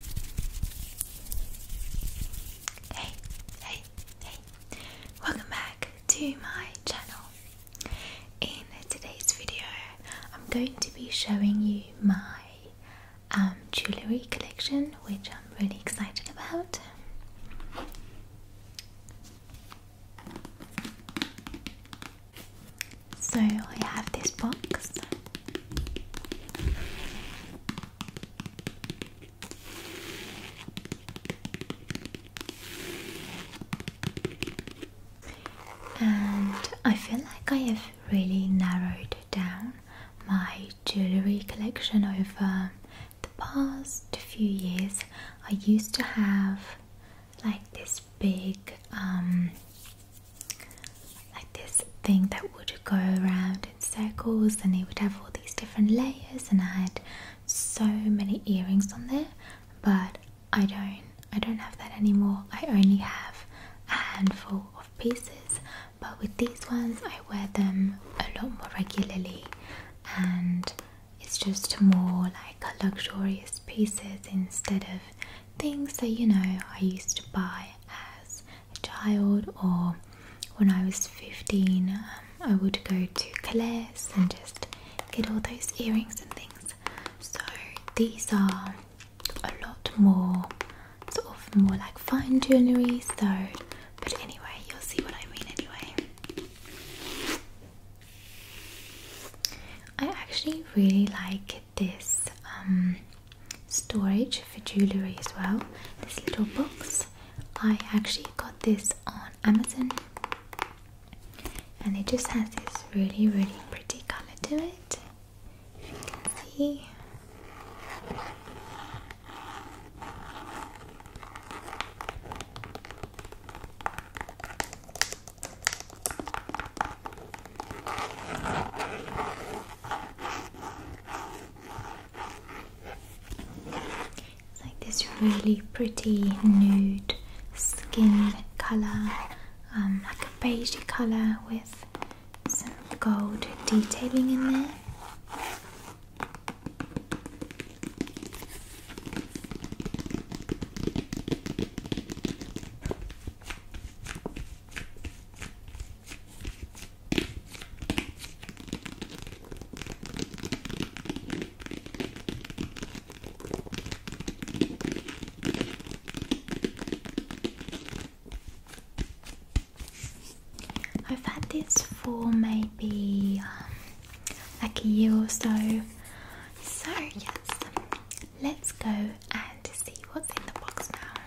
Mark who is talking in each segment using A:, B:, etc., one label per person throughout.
A: Hey, hey, hey, welcome back to my channel. In today's video, I'm going to be showing you my um, jewellery collection, which I'm really excited about. So, I have this box and I feel like I have really narrowed down my jewellery collection over the past few years. I used to have like this big um, like this thing that would go around in circles and it would have all these different layers and I had so many earrings on there but I don't I don't have that anymore I only have a handful of pieces but with these ones I wear them a lot more regularly and it's just more like luxurious pieces instead of things that you know I used to buy as child or when I was 15 um, I would go to Claire's and just get all those earrings and things so these are a lot more sort of more like fine jewellery so but anyway you'll see what I mean anyway I actually really like this um, storage for jewelry as well. This little box. I actually got this on Amazon, and it just has this really, really pretty color to it. If you can see. It's like this really pretty nude skin color, um, like a beigey color with some gold detailing in there. I've had this for maybe um, like a year or so. So, yes, let's go and see what's in the box now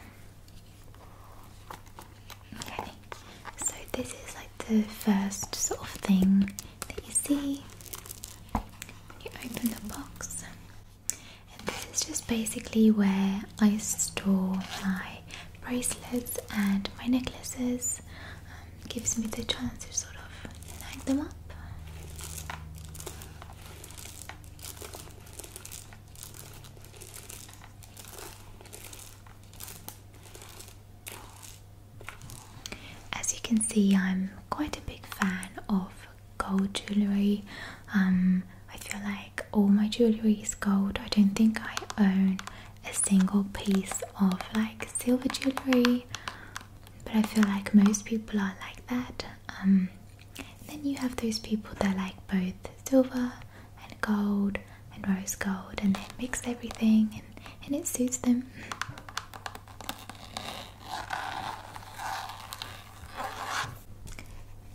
A: so this is like the first sort of thing that you see. You open the box, and this is just basically where I store my bracelets and my necklaces. Um, gives me the chance to sort of hang them up. As you can see, I'm quite a big fan of gold jewelry. Um, I feel like all my jewelry is gold. I don't think I own a single piece of like silver jewelry, but I feel like most people are like that. Um, then you have those people that like both silver and gold and rose gold and they mix everything and it suits them.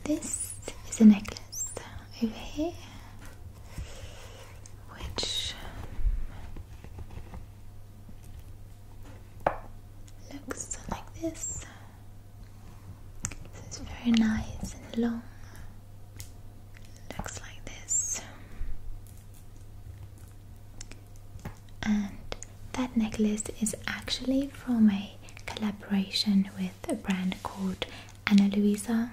A: This is a necklace over here which um, looks like this. This is very nice and long. Looks like this. And that necklace is actually from a collaboration with a brand called Anna Luisa.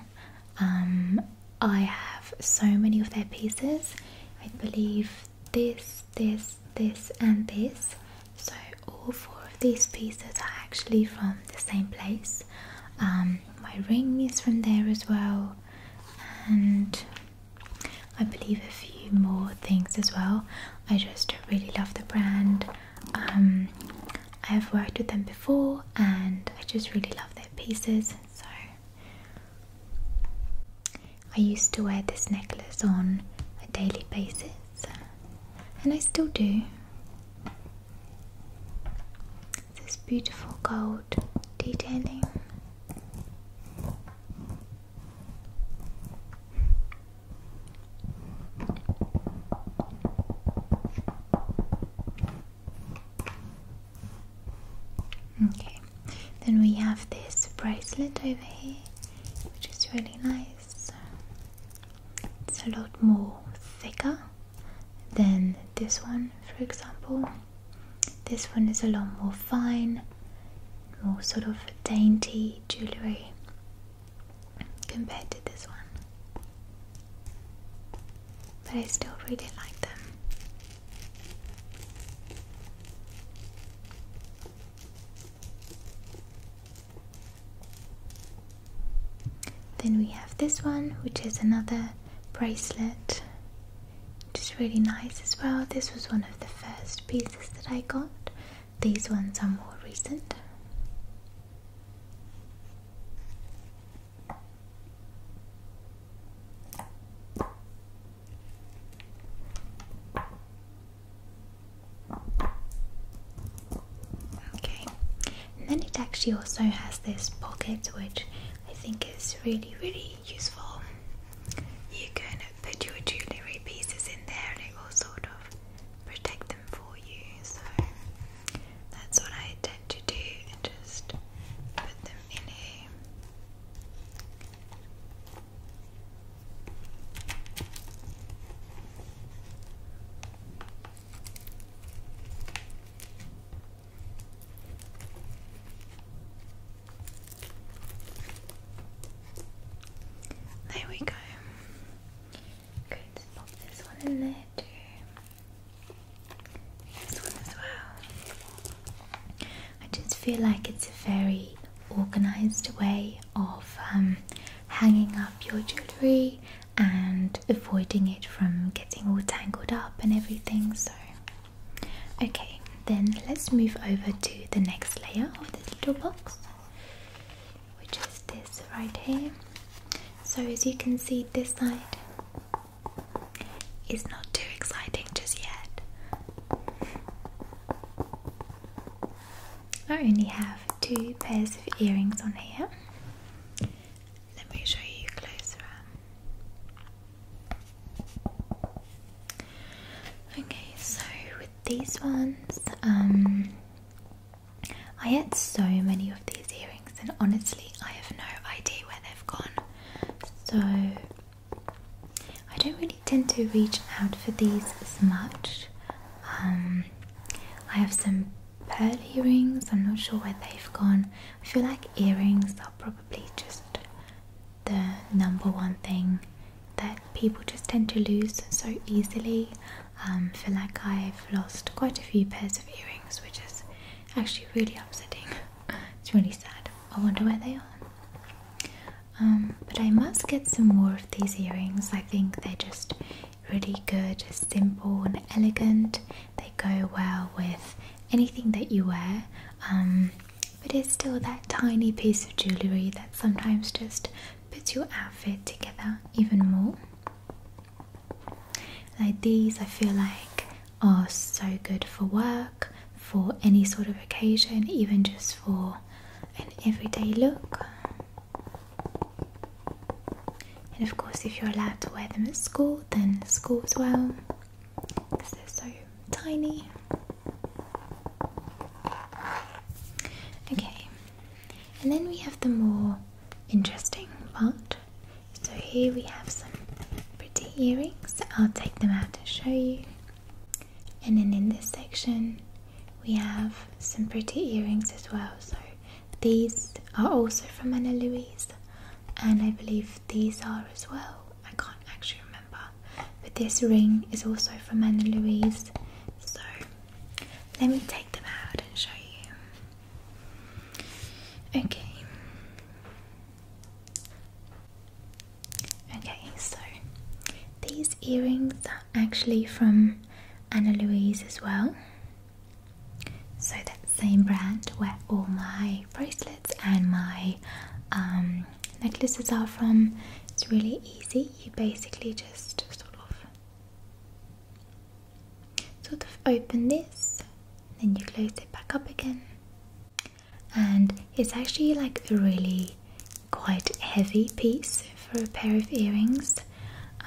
A: Um, I have so many of their pieces. I believe this, this, this, and this. So all four of these pieces are actually from the same place. Um, my ring is from there as well, and I believe a few more things as well. I just really love the brand. Um, I have worked with them before, and I just really love their pieces. So I used to wear this necklace on a daily basis and I still do. This beautiful gold detailing. Okay, then we have this bracelet over here, which is really nice it's a lot more thicker than this one for example this one is a lot more fine more sort of dainty jewellery compared to this one but I still really like them then we have this one, which is another bracelet, which is really nice as well. This was one of the first pieces that I got. These ones are more recent. Okay, and then it actually also has this pocket which I think is really, really useful. You can put your jewellery pieces in there and it will sort of protect them for you. So that's what I intend to do and just put them in here. There we go. Good, pop this one in there too. This one as well. I just feel like it's a very organized way of um, hanging up your jewelry and avoiding it from getting all tangled up and everything. So, okay, then let's move over to the next layer of this little box, which is this right here. So, as you can see, this side is not too exciting just yet. I only have two pairs of earrings on here. Let me show you closer Okay, so with these ones, um, I had so many of these earrings, and honestly, I have no idea where they've gone. So I don't really tend to reach out for these as much. Um, I have some pearl earrings. I'm not sure where they've gone. I feel like earrings are probably just the number one thing that people just tend to lose so easily. Um, I feel like I've lost quite a few pairs of earrings, which is actually really upsetting. it's really sad. I wonder where they are. Um, but I must get some more of these earrings. I think they're just really good, simple, and elegant. They go well with anything that you wear. Um, but it's still that tiny piece of jewellery that sometimes just puts your outfit together even more. Like these, I feel like are so good for work, for any sort of occasion, even just for an everyday look. And of course, if you're allowed to wear them at school, then school as well, because they're so tiny. Okay, and then we have the more interesting part. So, here we have some pretty earrings. I'll take them out to show you. And then in this section, we have some pretty earrings as well. So these are also from Anna Louise, and I believe these are as well. I can't actually remember, but this ring is also from Anna Louise. So let me take them out and show you. Okay. Okay, so these earrings are actually from Anna Louise as well. So that same brand where all my bracelets and my um, necklaces are from. It's really easy. You basically just sort of sort of open this, then you close it back up again. And it's actually like a really quite heavy piece for a pair of earrings,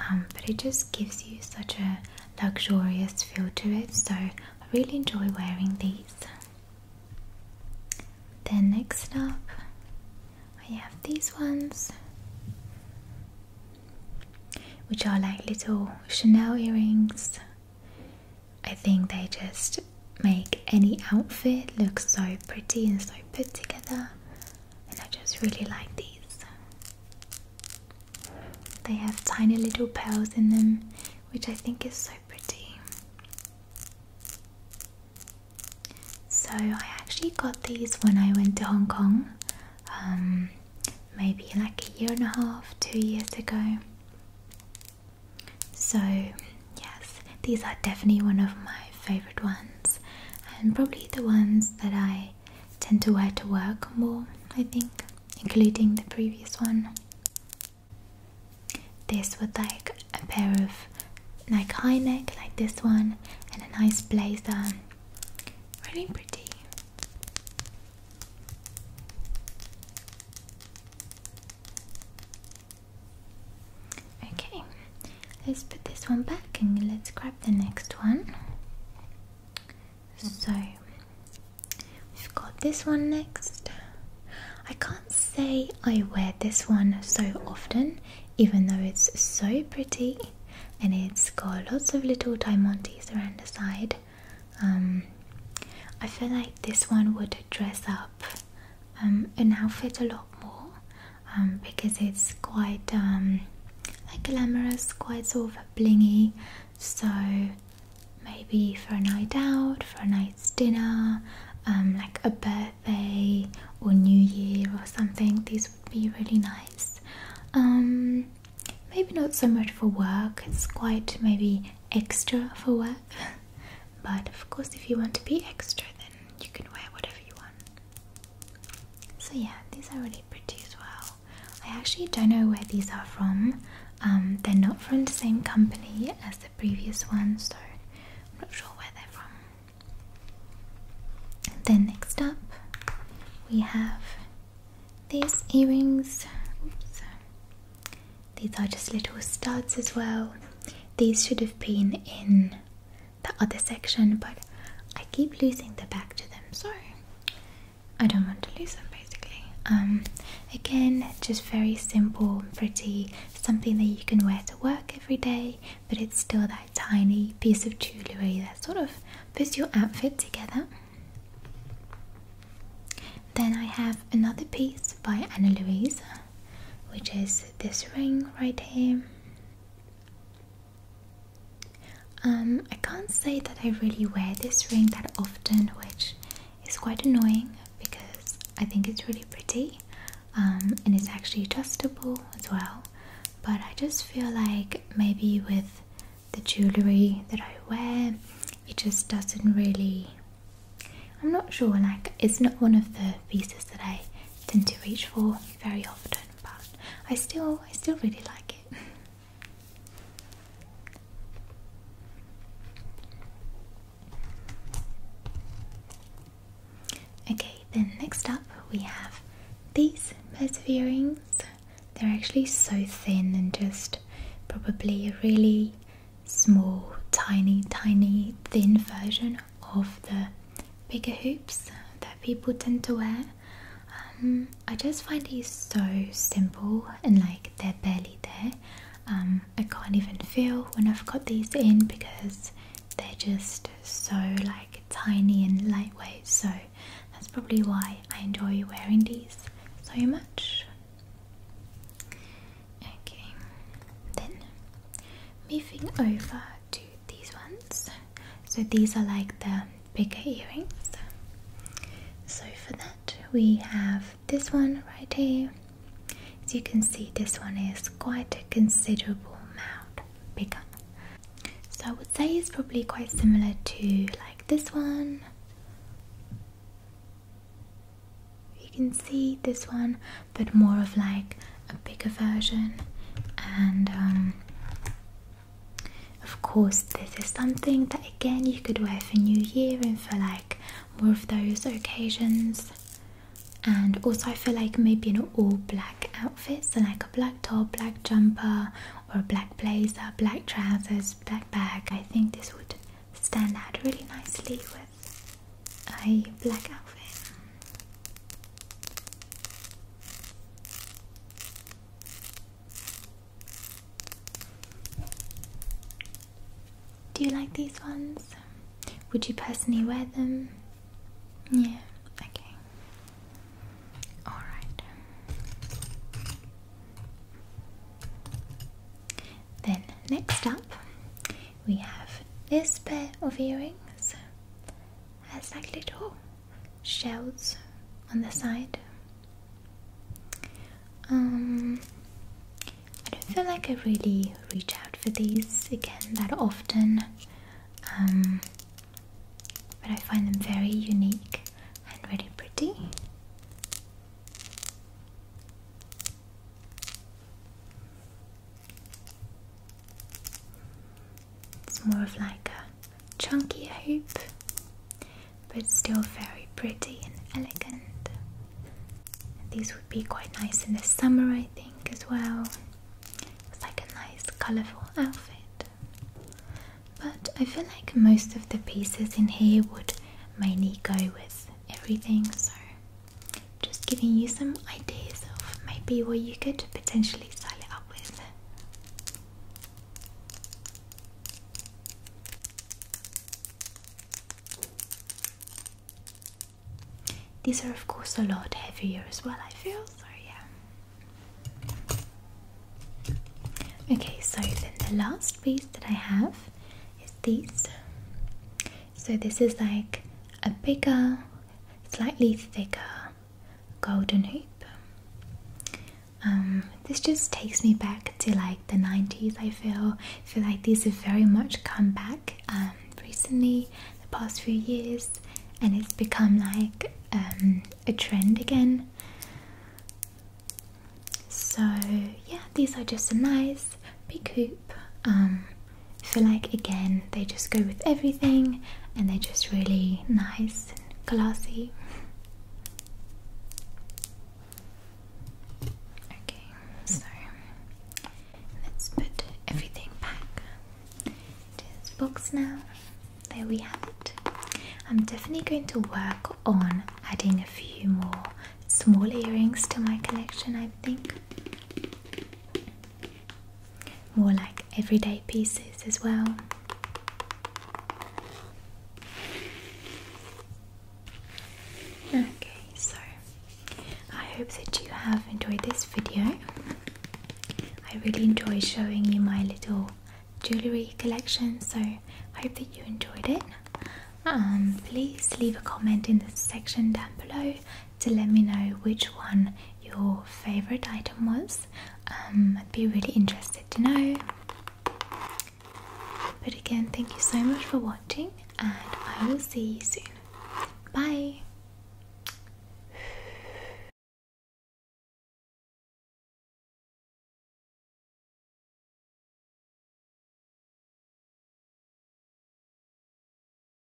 A: um, but it just gives you such a luxurious feel to it. So I really enjoy wearing these. Then next up, I have these ones, which are like little Chanel earrings. I think they just make any outfit look so pretty and so put together and I just really like these. They have tiny little pearls in them, which I think is so pretty. So, I actually got these when I went to Hong Kong, um, maybe like a year and a half, two years ago. So, yes, these are definitely one of my favorite ones and probably the ones that I tend to wear to work more, I think, including the previous one. This with like a pair of like high neck like this one and a nice blazer. Really pretty. Okay, let's put this one back and let's grab the next one. So we've got this one next. I can't say I wear this one so often, even though it's so pretty and it's got lots of little diamantes around the side. Um, I feel like this one would dress up um, an outfit a lot more um, because it's quite um, like glamorous, quite sort of blingy. So maybe for a night out, for a night's dinner, um, like a birthday or New Year or something, this would be really nice. maybe not so much for work, it's quite maybe extra for work. but of course, if you want to be extra, then you can wear whatever you want. So yeah, these are really pretty as well. I actually don't know where these are from. Um, they're not from the same company as the previous ones, so I'm not sure where they're from. then next up, we have these earrings. These are just little studs as well. These should have been in the other section, but I keep losing the back to them, so I don't want to lose them basically. Um, again, just very simple, pretty, something that you can wear to work every day, but it's still that tiny piece of jewellery that sort of puts your outfit together. Then I have another piece by Anna Louise, which is this ring right here. Um, I can't say that I really wear this ring that often, which is quite annoying because I think it's really pretty um, and it's actually adjustable as well. But I just feel like maybe with the jewellery that I wear, it just doesn't really. I'm not sure, like, it's not one of the pieces that I tend to reach for very often, but I still I still really like it. okay, then next up we have these perseverings. They're actually so thin and just probably a really small, tiny, tiny, thin version of the bigger hoops that people tend to wear. Um, I just find these so simple and like they're barely there. Um, I can't even feel when I've got these in because they're just so like tiny and lightweight. So that's probably why I enjoy wearing these so much. Okay, then moving over to these ones. So these are like the bigger earrings. So for that, we have this one right here. As you can see, this one is quite a considerable amount bigger. So I would say it's probably quite similar to like this one. You can see this one but more of like a bigger version. And um, of course, this is something that again you could wear for New Year and for like more of those occasions. And also, I feel like maybe an all black outfit, so like a black top, black jumper, or a black blazer, black trousers, black bag. I think this would stand out really nicely with a black outfit. Do you like these ones? Would you personally wear them? Yeah, okay. Alright. Then, next up we have this pair of earrings has like little shells on the side. Um, I don't feel like I really reach out for these again that often, um, but I find them very unique and really pretty. It's more of like a chunky hoop, but still very pretty and elegant. These would be quite nice in the summer, I think, as well. It's like a nice colourful outfit. But I feel like most of the pieces in here would mainly go with everything, so just giving you some ideas of maybe what you could potentially style it up with. These are, of course, a lot heavier as well, I feel, so yeah. Okay, so then the last piece that I have is these. So, this is like a bigger slightly thicker golden hoop. Um, this just takes me back to like the 90s. I feel feel like these have very much come back um, recently, the past few years, and it's become like um, a trend again. So yeah, these are just a nice big hoop I feel um, like again they just go with everything and they're just really nice and classy. Okay, so let's put everything back into this box now. There we have it. I'm definitely going to work on adding a few more small earrings to my collection, I think more like everyday pieces as well. Okay, so I hope that you have enjoyed this video. I really enjoy showing you my little jewellery collection, so I hope that you enjoyed it. Um, please leave a comment in the section down below to let me know which one your favorite item was. Um, I'd be really interested to know. But again, thank you so much for watching, and I will see you soon. Bye.